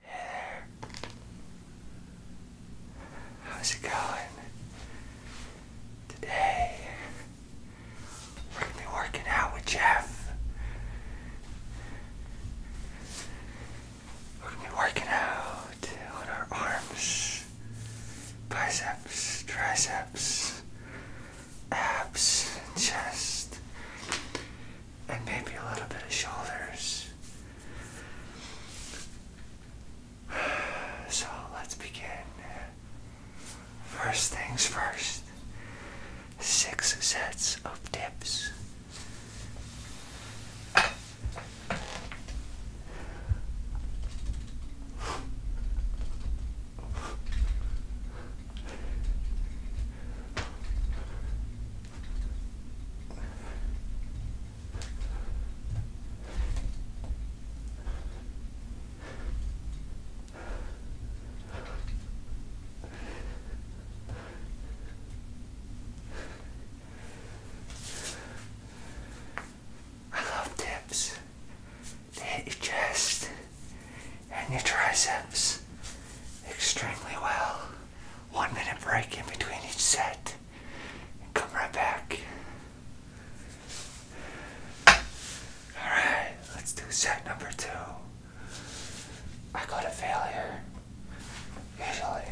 Hey there. How's it going? Today we're gonna be working out with Jeff. We're gonna be working out on our arms, biceps, triceps, abs, chest and maybe a little bit of shoulders. So let's begin. First things first six sets of dips. I love dips. They hit your chest and your triceps extremely well one minute break in between each set and come right back. Alright, let's do set number two. I go to failure, usually.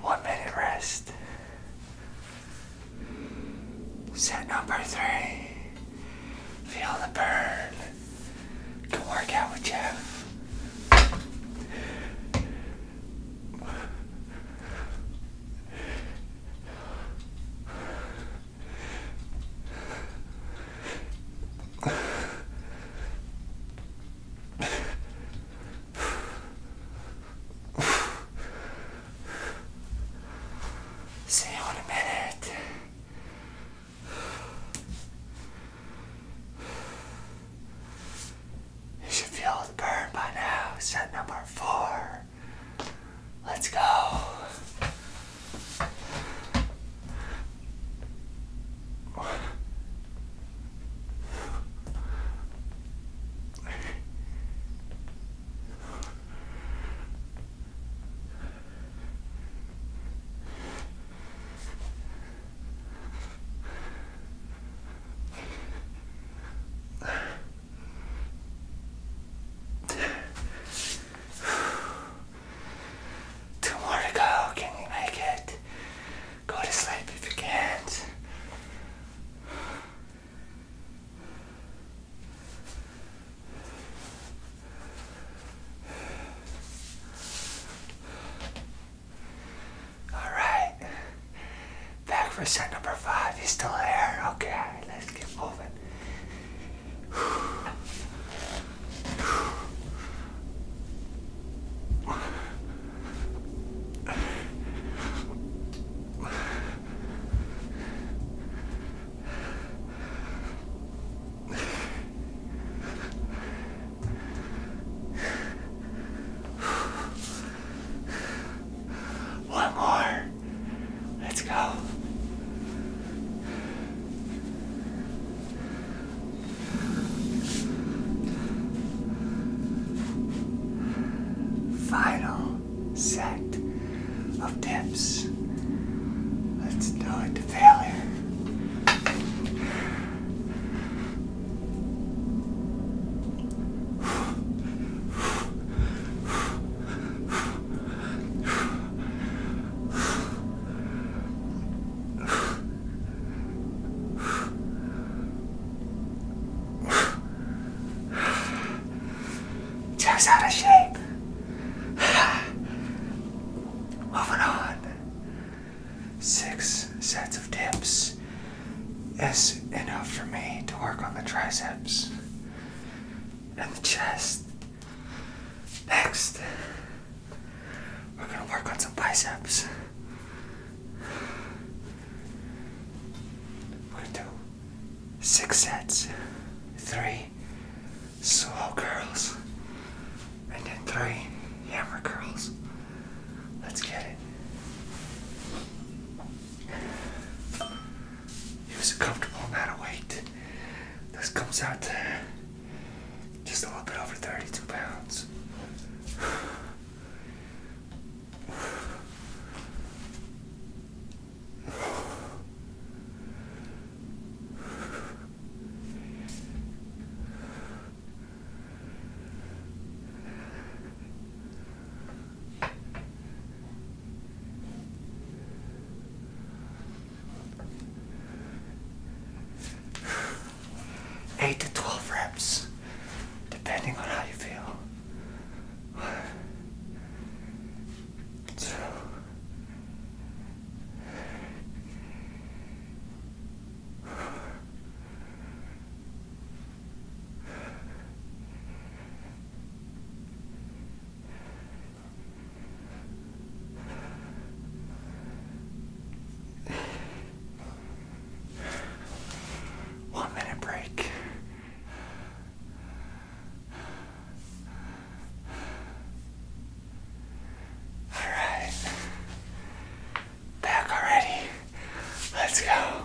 One minute rest. Set number three. Feel the burn. Go work out with Jeff. See you in a minute. You should feel the burn by now. Set number four. Let's go. Two more to go. Can you make it? Go to sleep if you can't. All right, back for set number five. He's still there. Okay, let's get moving. One more. Let's go. Final set of tips. Let's do it to failure just out of shape. Moving on. Six sets of dips is enough for me to work on the triceps and the chest. Next, we're gonna work on some biceps. We're gonna do six sets, three slow curls, and then three hammer curls. Let's get it. Use a comfortable amount of weight. This comes out to just a little bit over 32 pounds. 8 to 12 reps, depending on how you feel one minute break. Alright. Back already. Let's go.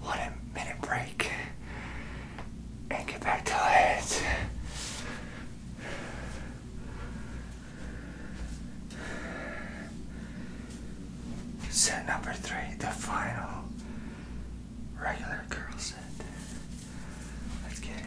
One minute break and get back to it. Set number three, the final regular girl set. Let's get it.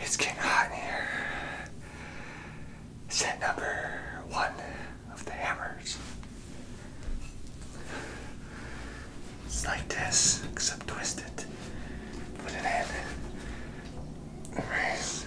It's getting hot in here. Set number one of the hammers. It's like this, except twisted. Put it in. Raise.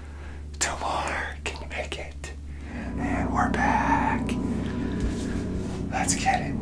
Tomorrow, can you make it? And we're back. Let's get it.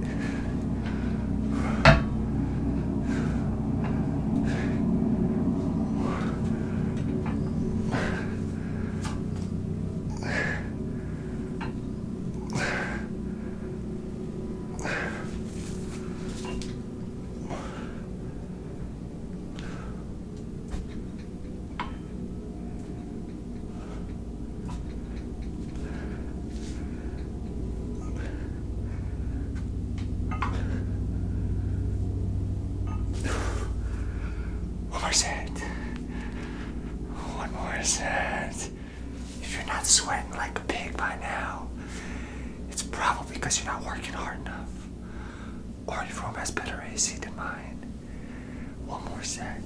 One more set. One more set. If you're not sweating like a pig by now, it's probably because you're not working hard enough. Our room has better AC than mine. One more set.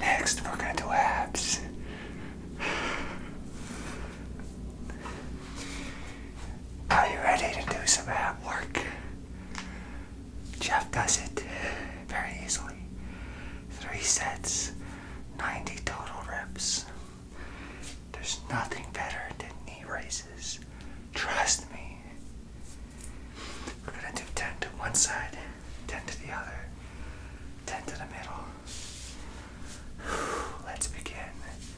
Next, we're going to do abs. Are you ready to do some ab work? Jeff does it very easily. Three sets, 90 total reps. There's nothing better than knee raises. Trust me. We're gonna do 10 to one side, 10 to the other, 10 to the middle. Let's begin.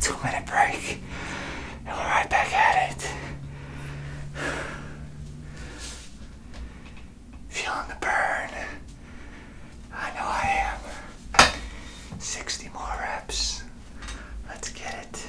two minute break, and we're right back at it. Feeling the burn. I know I am. 60 more reps. Let's get it.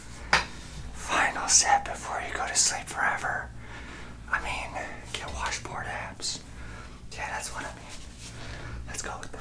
Final set before you go to sleep forever. I mean, get washboard abs. Yeah, that's what I mean. Let's go with that.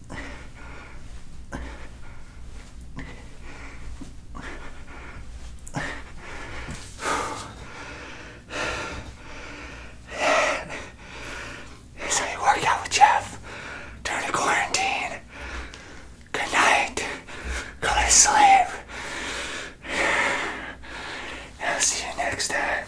So you work out with Jeff during the quarantine. Good night. Go to sleep. I'll see you next time.